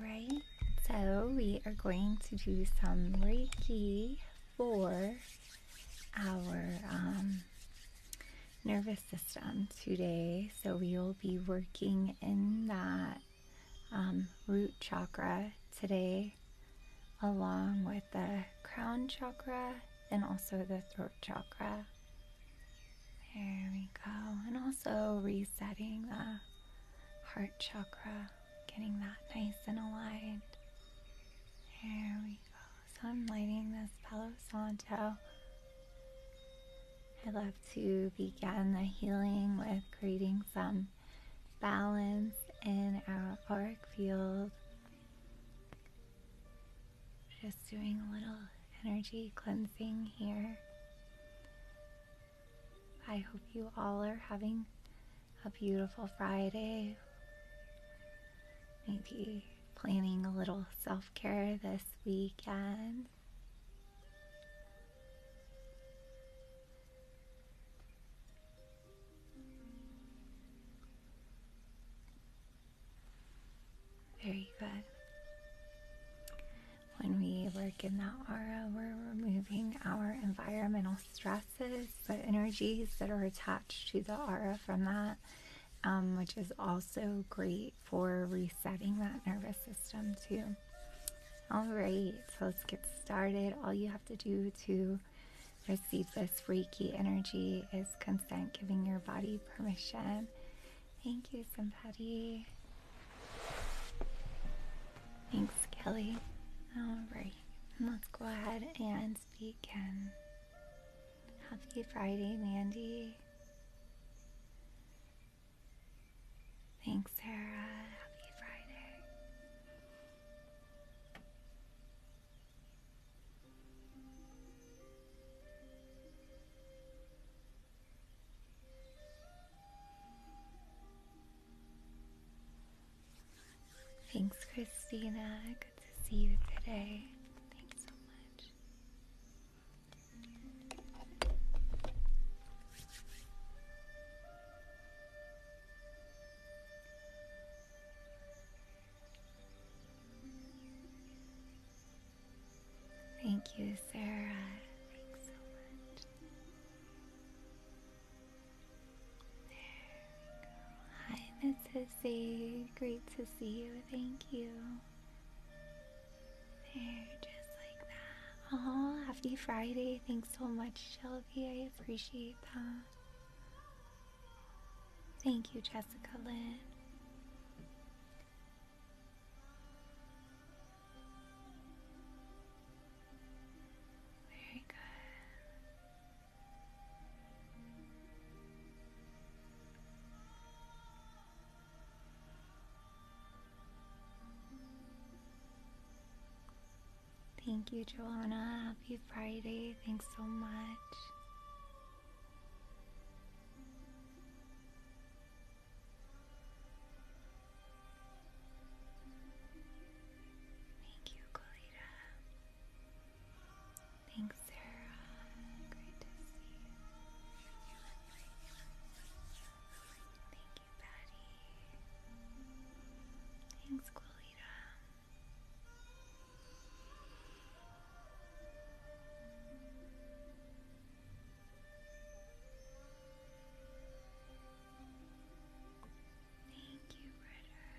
Alright, so we are going to do some Reiki for our um, nervous system today. So we will be working in that um, root chakra today, along with the crown chakra and also the throat chakra. There we go. And also resetting the heart chakra getting that nice and aligned. There we go. So I'm lighting this Palo Santo. I love to begin the healing with creating some balance in our auric field. Just doing a little energy cleansing here. I hope you all are having a beautiful Friday. Maybe planning a little self care this weekend. Very good. When we work in that aura, we're removing our environmental stress but energies that are attached to the aura from that, um, which is also great for resetting that nervous system, too. All right, so let's get started. All you have to do to receive this Reiki energy is consent, giving your body permission. Thank you, somebody. Thanks, Kelly. All right. Let's go ahead and begin. Happy Friday, Mandy. Thanks, Sarah. Happy Friday. Thanks, Christina. Good to see you today. Thank you so much. Thank you, Sarah. Thanks so much. There Hi, Miss Hissy. Great to see you. Thank you. There, just like that. Oh, happy Friday. Thanks so much, Shelby. I appreciate that. Thank you, Jessica Lynn. Very good. Thank you, Joanna. Happy Friday. Thanks so much. Thank you, Colita. Thanks, Sarah. Great to see you. Thank you, Patty. Thanks, Colita. Thank you, Ritter.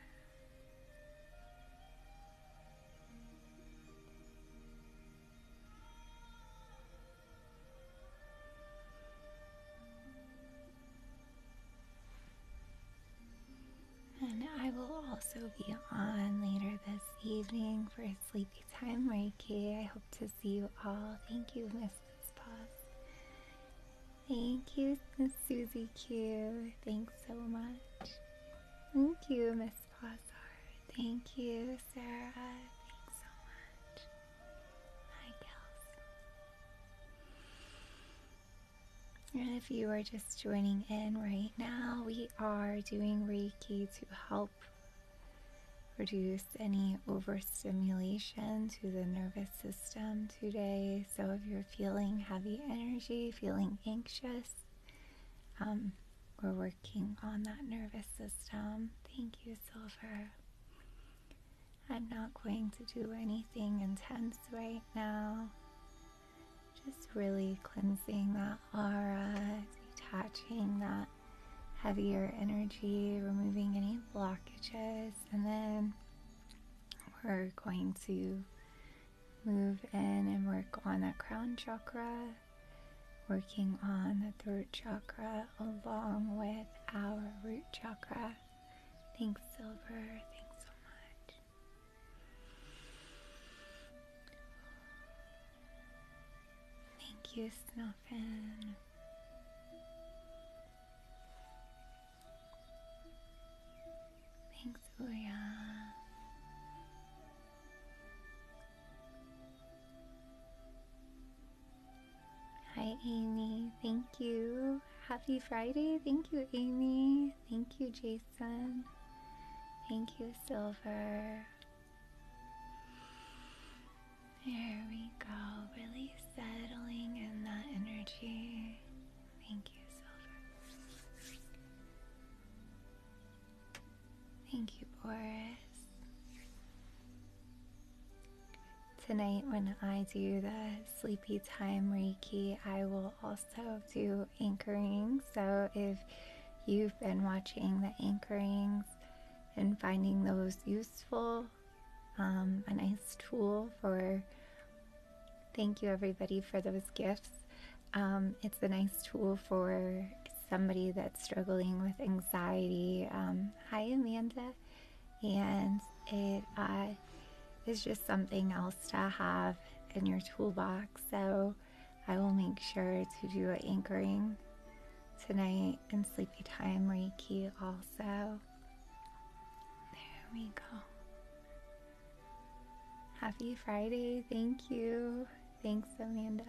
And I will also be on later this evening for Sleepy Time Reiki. I hope to see you all. Thank you, Mrs. Paz. Thank you, Susie Q. Thanks so much. Thank you, Miss Pazar. Thank you, Sarah. Thanks so much. Hi, gals. And if you are just joining in right now, we are doing Reiki to help reduce any overstimulation to the nervous system today. So if you're feeling heavy energy, feeling anxious, um, we're working on that nervous system. Thank you, Silver. I'm not going to do anything intense right now. Just really cleansing that aura, detaching that heavier energy, removing any blockages, and then we're going to move in and work on the crown chakra, working on the throat chakra along with our root chakra. Thanks, Silver. Thanks so much. Thank you, Snuffin. Thanks, Oya. Hi, Amy. Thank you. Happy Friday. Thank you, Amy. Thank you, Jason. Thank you, Silver. There we go. Really settling in that energy. Thank you, Silver. Thank you, Boris. Tonight, when I do the sleepy time Reiki, I will also do anchoring. So, if you've been watching the anchorings and finding those useful, um, a nice tool for. Thank you, everybody, for those gifts. Um, it's a nice tool for somebody that's struggling with anxiety. Um, hi, Amanda. And it uh, is just something else to have in your toolbox. So I will make sure to do an anchoring tonight in sleepy time Reiki also. There we go. Happy Friday. Thank you. Thanks, Amanda.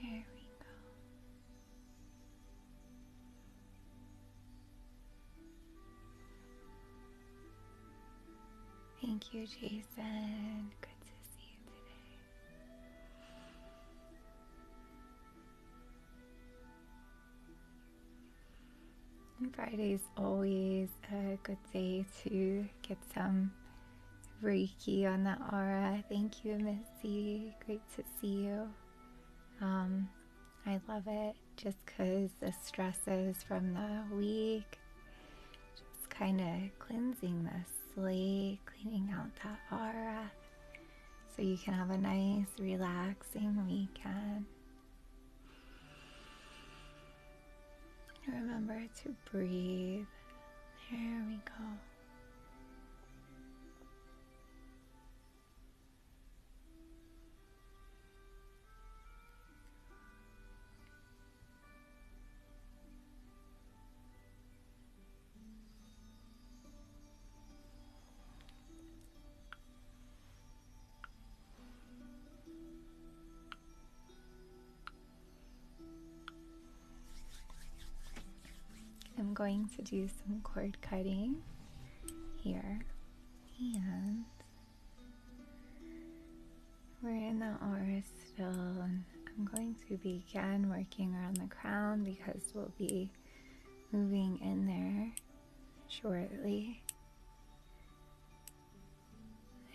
There we go. Thank you, Jason. Good to see you today. And Friday is always a good day to get some Reiki on that aura. Thank you, Missy. Great to see you. Um, I love it just because the stresses from the week, just kind of cleansing this. Sleep, cleaning out that aura so you can have a nice, relaxing weekend. Remember to breathe. There we go. I'm going to do some cord cutting here and we're in the aura still, and I'm going to begin working around the crown because we'll be moving in there shortly.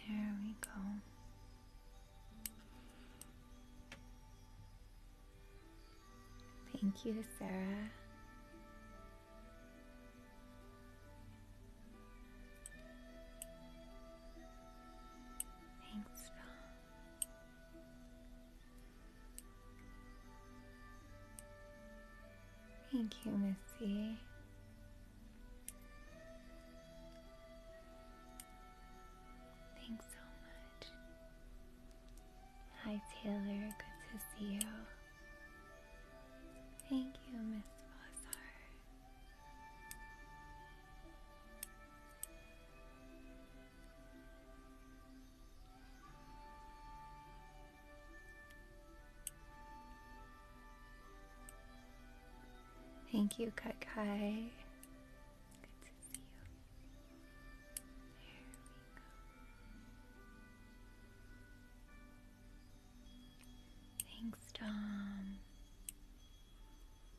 There we go. Thank you, Sarah. Thanks, Bill. Thank you, Missy. Thanks so much. Hi, Taylor. Good to see you. Thank you, Miss Bozar. Thank you, Kai Kai. Good to see you. Thanks, Tom.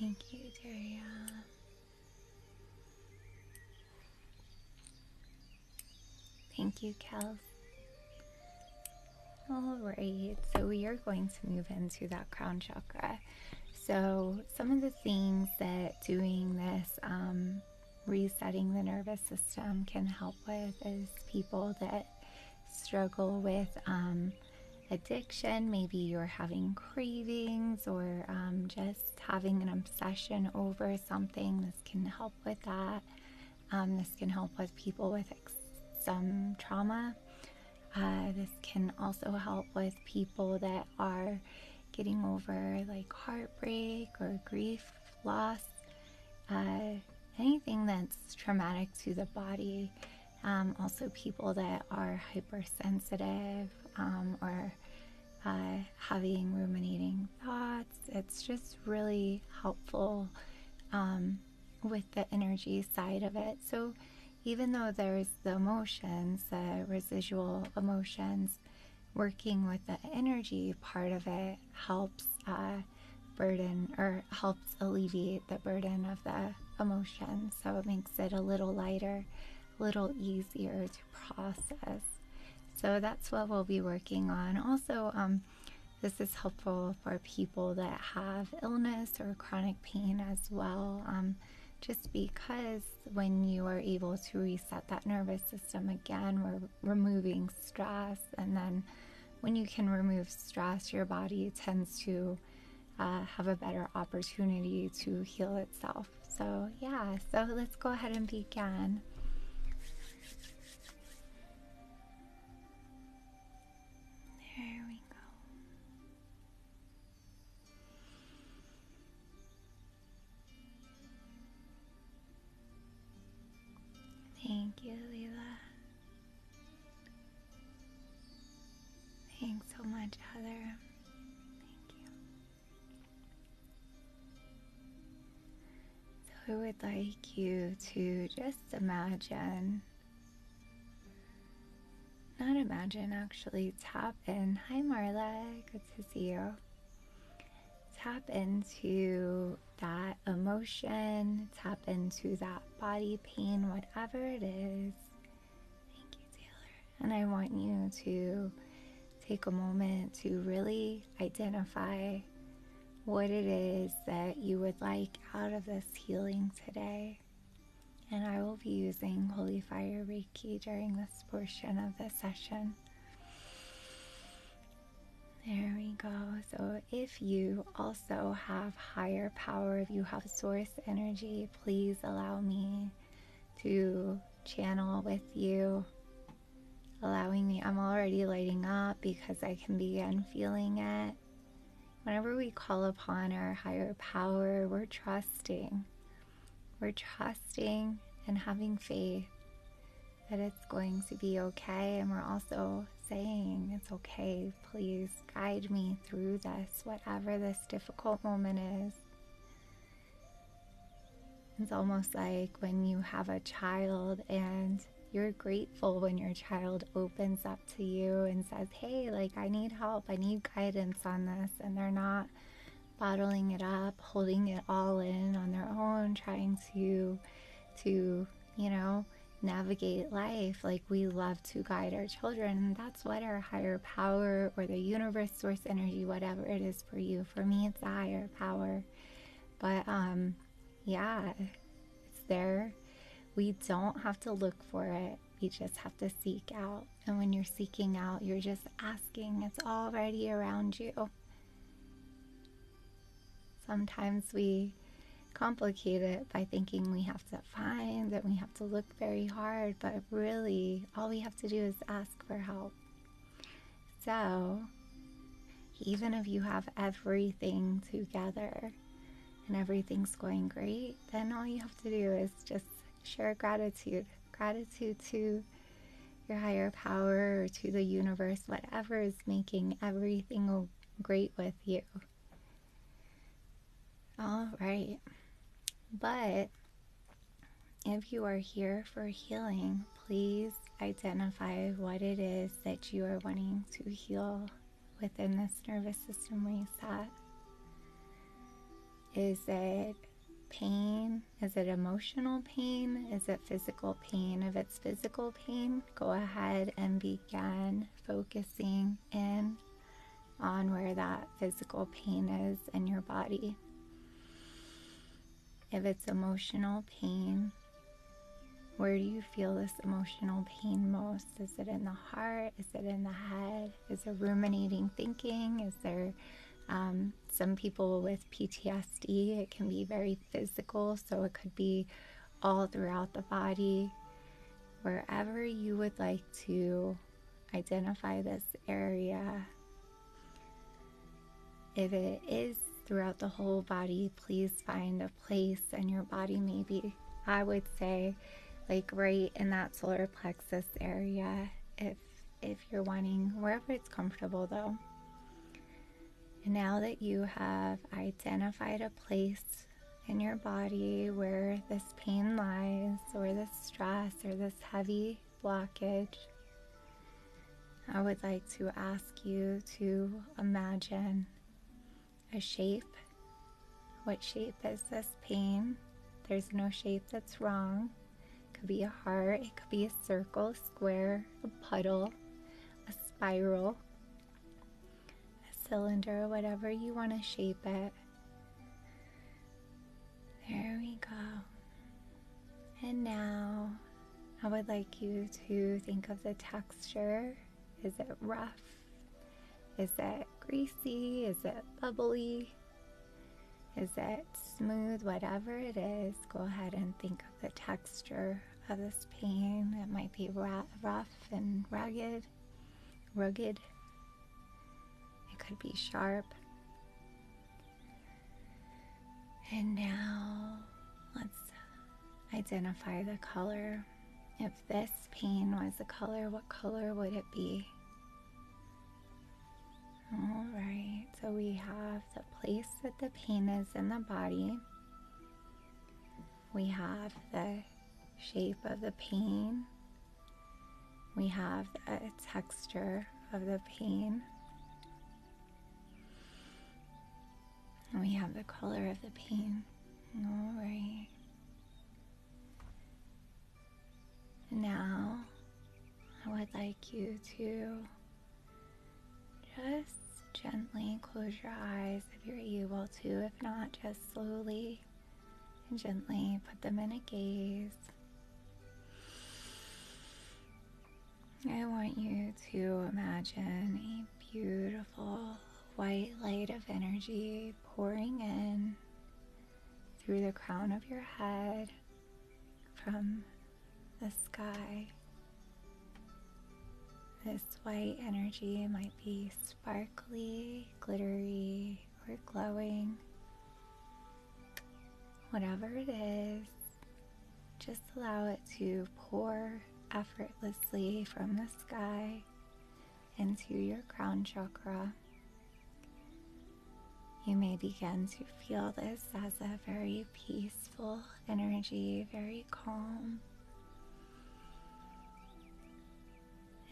Thank you, Daria. Thank you, Kels. Alright, so we are going to move into that crown chakra. So, some of the things that doing this um, resetting the nervous system can help with is people that struggle with um, addiction, maybe you're having cravings or um, just having an obsession over something, this can help with that. Um, this can help with people with some trauma. Uh, this can also help with people that are getting over like heartbreak or grief, loss. Uh, anything that's traumatic to the body. Um, also, people that are hypersensitive um, or uh, having ruminating thoughts. It's just really helpful um, with the energy side of it. So, even though there's the emotions, the residual emotions, working with the energy part of it helps uh, burden or helps alleviate the burden of the emotion. So it makes it a little lighter, a little easier to process. So that's what we'll be working on. Also, um, this is helpful for people that have illness or chronic pain as well. Um, just because when you are able to reset that nervous system again, we're removing stress and then when you can remove stress, your body tends to uh, have a better opportunity to heal itself. So, yeah, so let's go ahead and begin. There we go. Thank you, Leila. Thanks so much, Heather. Thank you. I would like you to just imagine. Not imagine, actually tap in. Hi Marla, good to see you. Tap into that emotion, tap into that body pain, whatever it is. Thank you, Taylor. And I want you to take a moment to really identify what it is that you would like out of this healing today. And I will be using Holy Fire Reiki during this portion of the session. There we go. So, if you also have higher power, if you have source energy, please allow me to channel with you. Allowing me, I'm already lighting up because I can begin feeling it. Whenever we call upon our higher power, we're trusting. We're trusting and having faith that it's going to be okay. And we're also saying it's okay. Please guide me through this, whatever this difficult moment is. It's almost like when you have a child and you're grateful when your child opens up to you and says, Hey, like, I need help. I need guidance on this. And they're not bottling it up, holding it all in on their own, trying to to you know, navigate life. Like we love to guide our children, that's what our higher power or the universe, source energy, whatever it is for you. For me, it's the higher power. But um, yeah, it's there. We don't have to look for it. We just have to seek out. And when you're seeking out, you're just asking. It's already around you. Sometimes we complicate it by thinking we have to find and we have to look very hard, but really all we have to do is ask for help. So, even if you have everything together and everything's going great, then all you have to do is just share gratitude. Gratitude to your higher power or to the universe, whatever is making everything great with you. All right. But if you are here for healing, please identify what it is that you are wanting to heal within this nervous system reset. Is it pain? Is it emotional pain? Is it physical pain? If physical pain, go ahead and begin focusing in on where that physical pain is in your body. If it's emotional pain, where do you feel this emotional pain most? Is it in the heart? Is it in the head? Is there ruminating thinking? Is there um, some people with PTSD? It can be very physical, so it could be all throughout the body. Wherever you would like to identify this area, if it is throughout the whole body, please find a place in your body, maybe. I would say, like right in that solar plexus area, if if you're wanting wherever it's comfortable though and now that you have identified a place in your body where this pain lies, where this stress, or this heavy blockage, I would like to ask you to imagine a shape. What shape is this pain? There's no shape that's wrong. It could be a heart, it could be a circle square, a puddle, a spiral, a cylinder, whatever you want to shape it. There we go. And now I would like you to think of the texture. Is it rough? Is it greasy? Is it bubbly? Is it smooth? Whatever it is, go ahead and think of the texture of this pain that might be rough and rugged, rugged. It could be sharp. And now let's identify the color. If this pain was a color, what color would it be? All right, so we have the place that the pain is in the body. We have the shape of the pain. We have the texture of the pain. And we have the color of the pain. All right. Now, I would like you to just gently close your eyes if you're able to. If not, just slowly and gently put them in a gaze. I want you to imagine a beautiful white light of energy pouring in through the crown of your head from the sky. This white energy might be sparkly, glittery, or glowing. Whatever it is, just allow it to pour effortlessly from the sky into your crown chakra. You may begin to feel this as a very peace energy, very calm.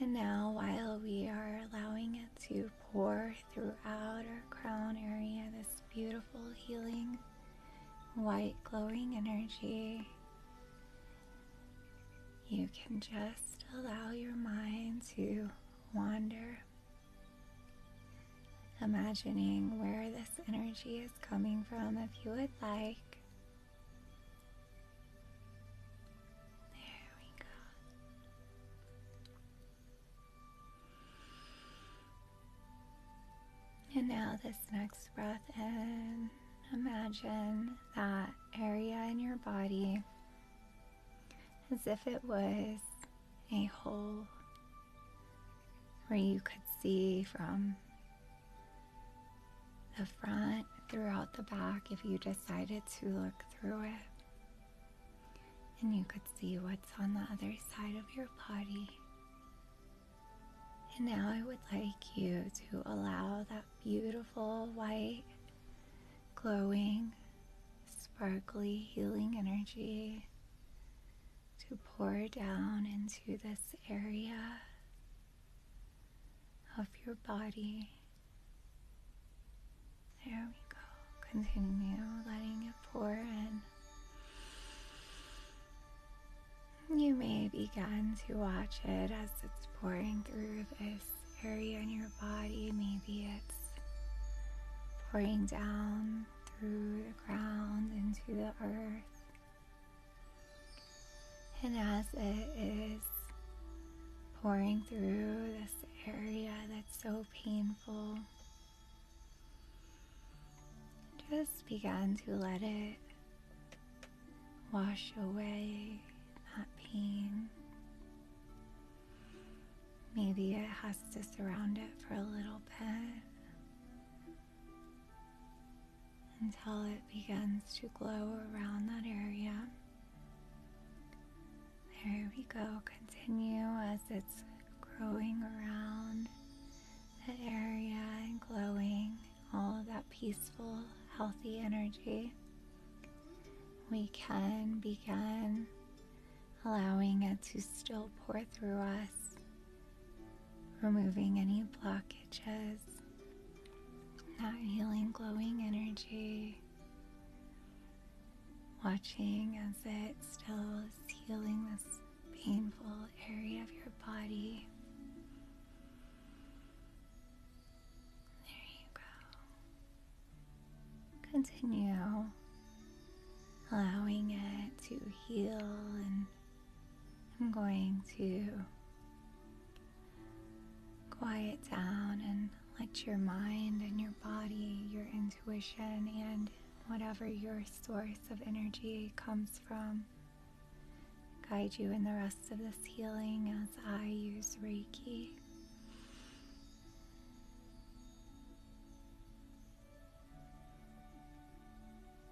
And now, while we are allowing it to pour throughout our crown area, this beautiful healing, white glowing energy, you can just allow your mind to wander imagining where this energy is coming from if you would like. There we go. And now, this next breath in, imagine that area in your body as if it was a whole where you could see from the front throughout the back if you decided to look through it. And you could see what's on the other side of your body. And now I would like you to allow that beautiful white, glowing, sparkly, healing energy to pour down into this area of your body. There we go. Continue letting it pour in. You may begin to watch it as it's pouring through this area in your body. Maybe it's pouring down through the ground into the earth. And as it is pouring through this area that's so painful, just began to let it wash away that pain. Maybe it has to surround it for a little bit until it begins to glow around that area. There we go. Continue as it's growing around that area and glowing all of that peaceful, healthy energy. We can begin allowing it to still pour through us removing any blockages, that healing, glowing energy. Watching as it still is healing this painful area of your body. There you go. Continue allowing it to heal and I'm going to quiet down and let your mind and your body, your intuition, and whatever your source of energy comes from guide you in the rest of this healing as I use Reiki.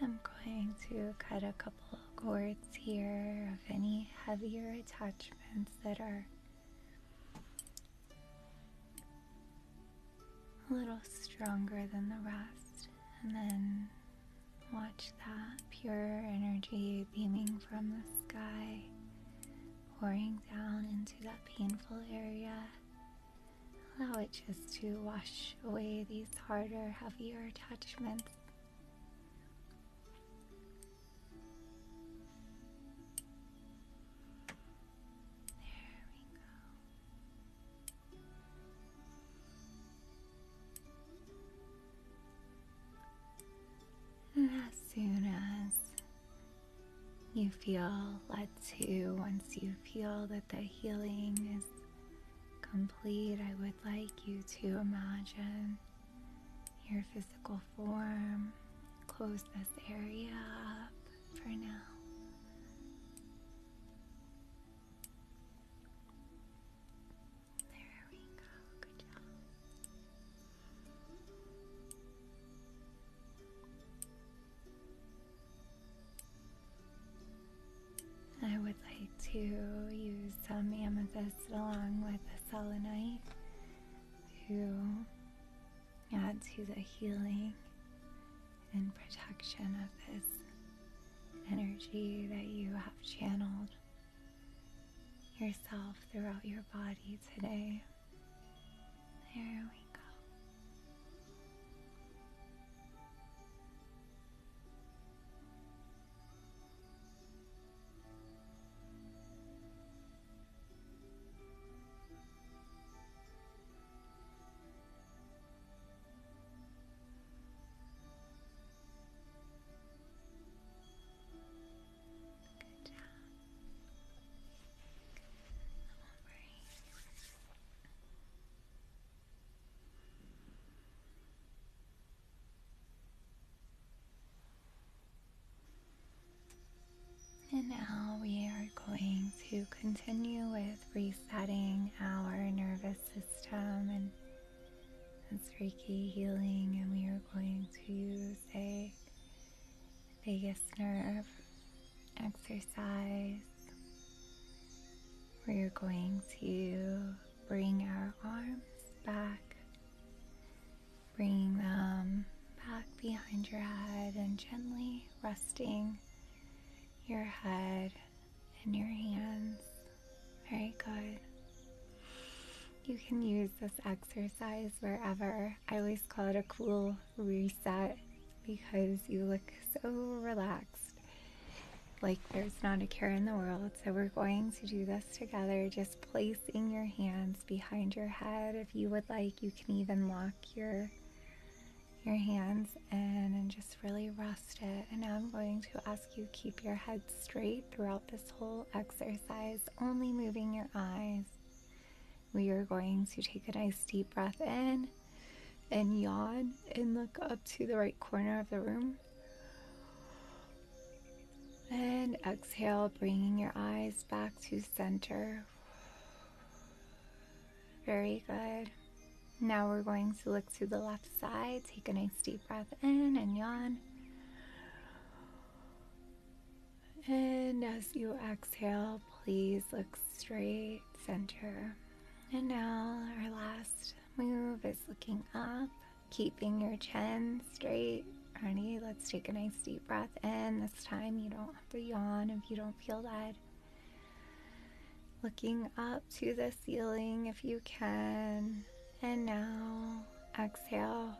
I'm going to cut a couple of cords here of any heavier attachments that are a little stronger than the rest, and then watch that pure energy beaming from the sky, pouring down into that painful area. Allow it just to wash away these harder, heavier attachments. There we go. And as soon as you feel let to, once you feel that the healing is complete, I would like you to imagine your physical form. Close this area up for now. There we go. Good job. I would like to use some amethyst along with the selenite to add to the healing and protection of this energy that you have channeled yourself throughout your body today. There we go. Good job. All right. And now we are going to continue with resetting our nervous system and it's Reiki healing, and we are going to use a vagus nerve exercise we're going to bring our arms back, bringing them back behind your head and gently resting your head and your hands. Very good. You can use this exercise wherever. I always call it a cool reset because you look so relaxed like there's not a care in the world. So we're going to do this together, just placing your hands behind your head. If you would like, you can even lock your your hands in and just really rest it. And now I'm going to ask you keep your head straight throughout this whole exercise, only moving your eyes. We are going to take a nice deep breath in and yawn and look up to the right corner of the room. And exhale, bringing your eyes back to center. Very good. Now we're going to look to the left side. Take a nice deep breath in and yawn. And as you exhale, please look straight center. And now our last move is looking up, keeping your chin straight. Honey, let's take a nice deep breath in. This time you don't have to yawn if you don't feel that. Looking up to the ceiling if you can. And now exhale,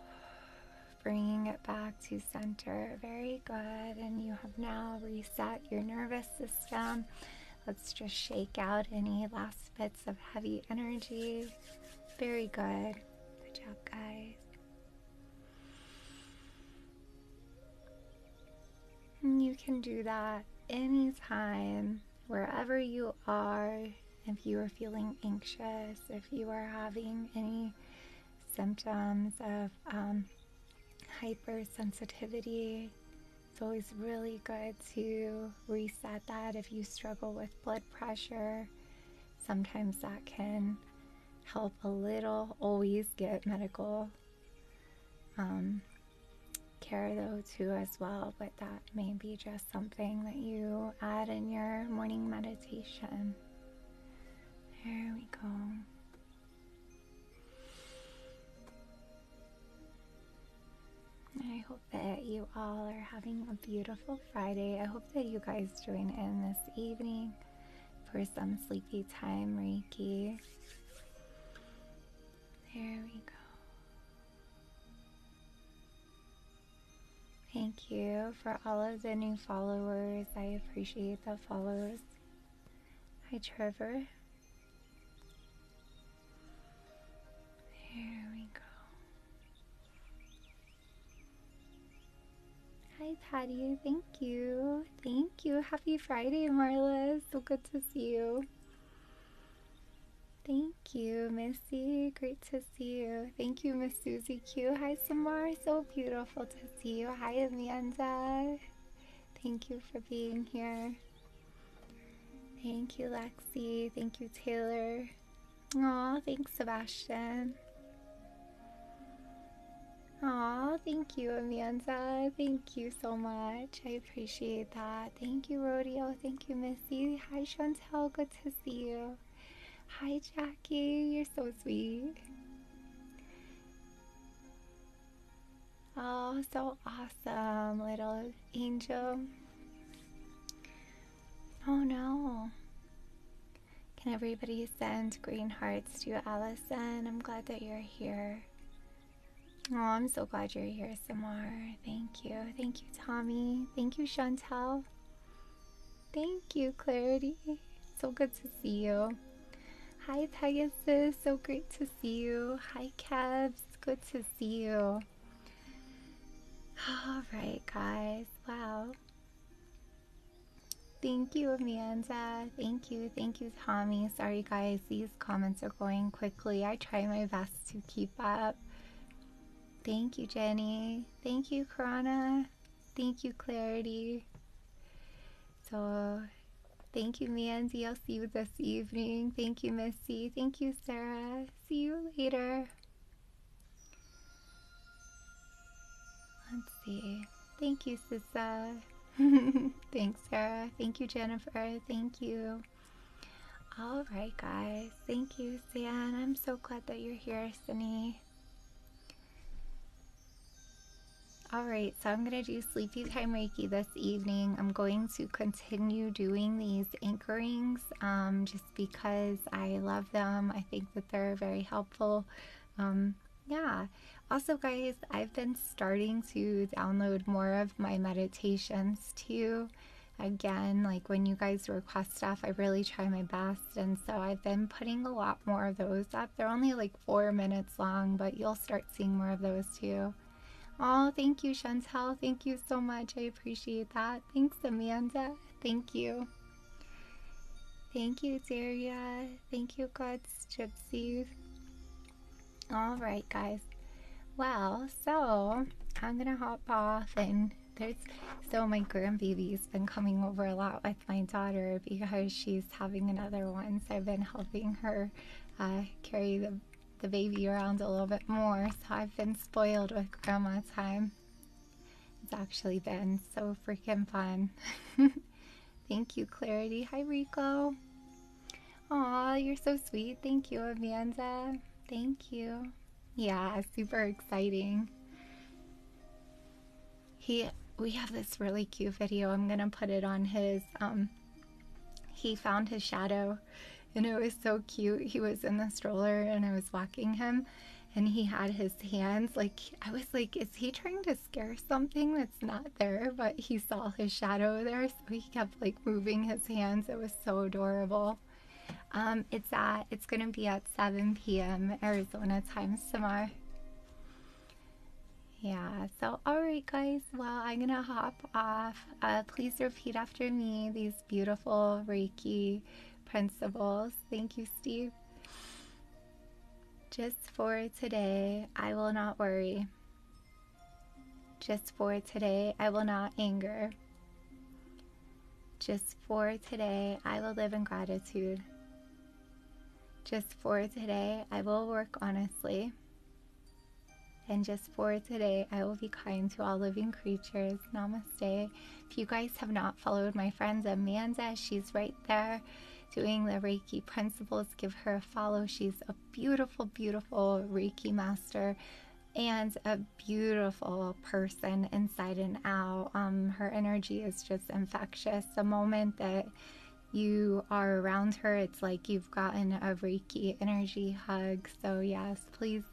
bringing it back to center. Very good. And you have now reset your nervous system Let's just shake out any last bits of heavy energy. Very good. Good job, guys. You can do that anytime, wherever you are. If you are feeling anxious, if you are having any symptoms of um, hypersensitivity, it's always really good to reset that if you struggle with blood pressure. Sometimes that can help a little. Always get medical um, care though, too, as well. But that may be just something that you add in your morning meditation. There we go. I hope that you all are having a beautiful Friday. I hope that you guys join in this evening for some sleepy time Reiki. There we go. Thank you for all of the new followers. I appreciate the followers. Hi, Trevor. There we go. Hi, Patty. Thank you. Thank you. Happy Friday, Marla. So good to see you. Thank you, Missy. Great to see you. Thank you, Miss Susie Q. Hi, Samar. So beautiful to see you. Hi, Amanda. Thank you for being here. Thank you, Lexi. Thank you, Taylor. Aw, thanks, Sebastian. Aw, thank you, Amanda. Thank you so much. I appreciate that. Thank you, Rodeo. Thank you, Missy. Hi, Chantel. Good to see you. Hi, Jackie. You're so sweet. Oh, so awesome, little angel. Oh no. Can everybody send green hearts to Allison? I'm glad that you're here. Oh, I'm so glad you're here, Samar. Thank you. Thank you, Tommy. Thank you, Chantel. Thank you, Clarity. So good to see you. Hi, Pegasus. So great to see you. Hi, Kevs. It's good to see you. Alright, guys. Wow. Thank you, Amanda. Thank you. Thank you, Tommy. Sorry, guys. These comments are going quickly. I try my best to keep up. Thank you, Jenny. Thank you, Karana. Thank you, Clarity. So, Thank you, Mandy. I'll see you this evening. Thank you, Missy. Thank you, Sarah. See you later. Let's see. Thank you, Sissa. Thanks, Sarah. Thank you, Jennifer. Thank you. All right, guys. Thank you, San. I'm so glad that you're here, Sunny. All right, so I'm going to do Sleepy Time Reiki this evening. I'm going to continue doing these anchorings um, just because I love them. I think that they're very helpful. Um, yeah. Also, guys, I've been starting to download more of my meditations too. Again, like when you guys request stuff, I really try my best. And so I've been putting a lot more of those up. They're only like four minutes long, but you'll start seeing more of those too oh, thank you, Chantel. Thank you so much. I appreciate that. Thanks, Amanda. Thank you. Thank you, Daria. Thank you, God's Gypsies. All right, guys. Well, so I'm gonna hop off, and there's so my grandbaby's been coming over a lot with my daughter because she's having another one. So I've been helping her uh, carry the the baby around a little bit more, so I've been spoiled with grandma time. It's actually been so freaking fun. Thank you, Clarity. Hi, Rico. Aw, you're so sweet. Thank you, Amanda. Thank you. Yeah, super exciting. He, we have this really cute video. I'm gonna put it on his um he found his shadow and it was so cute. He was in the stroller and I was walking him and he had his hands like I was like, is he trying to scare something that's not there? But he saw his shadow there, so he kept like moving his hands. It was so adorable. Um, it's at it's gonna be at 7 p.m. Arizona time tomorrow. Yeah, so all right guys well i'm gonna hop off uh, please repeat after me these beautiful reiki principles thank you steve just for today i will not worry just for today i will not anger just for today i will live in gratitude just for today i will work honestly and just for today, I will be kind to all living creatures. Namaste. If you guys have not followed my friend Amanda, she's right there doing the Reiki principles. Give her a follow. She's a beautiful, beautiful Reiki master and a beautiful person inside and out. Um, her energy is just infectious. The moment that you are around her, it's like you've gotten a Reiki energy hug. So, yes, please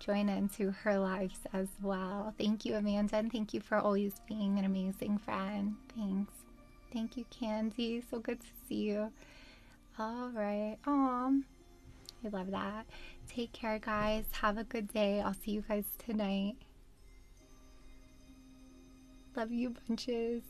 join into her lives as well. Thank you, Amanda, and thank you for always being an amazing friend. Thanks. Thank you, Candy. So good to see you. All right. Aww. I love that. Take care, guys. Have a good day. I'll see you guys tonight. Love you bunches.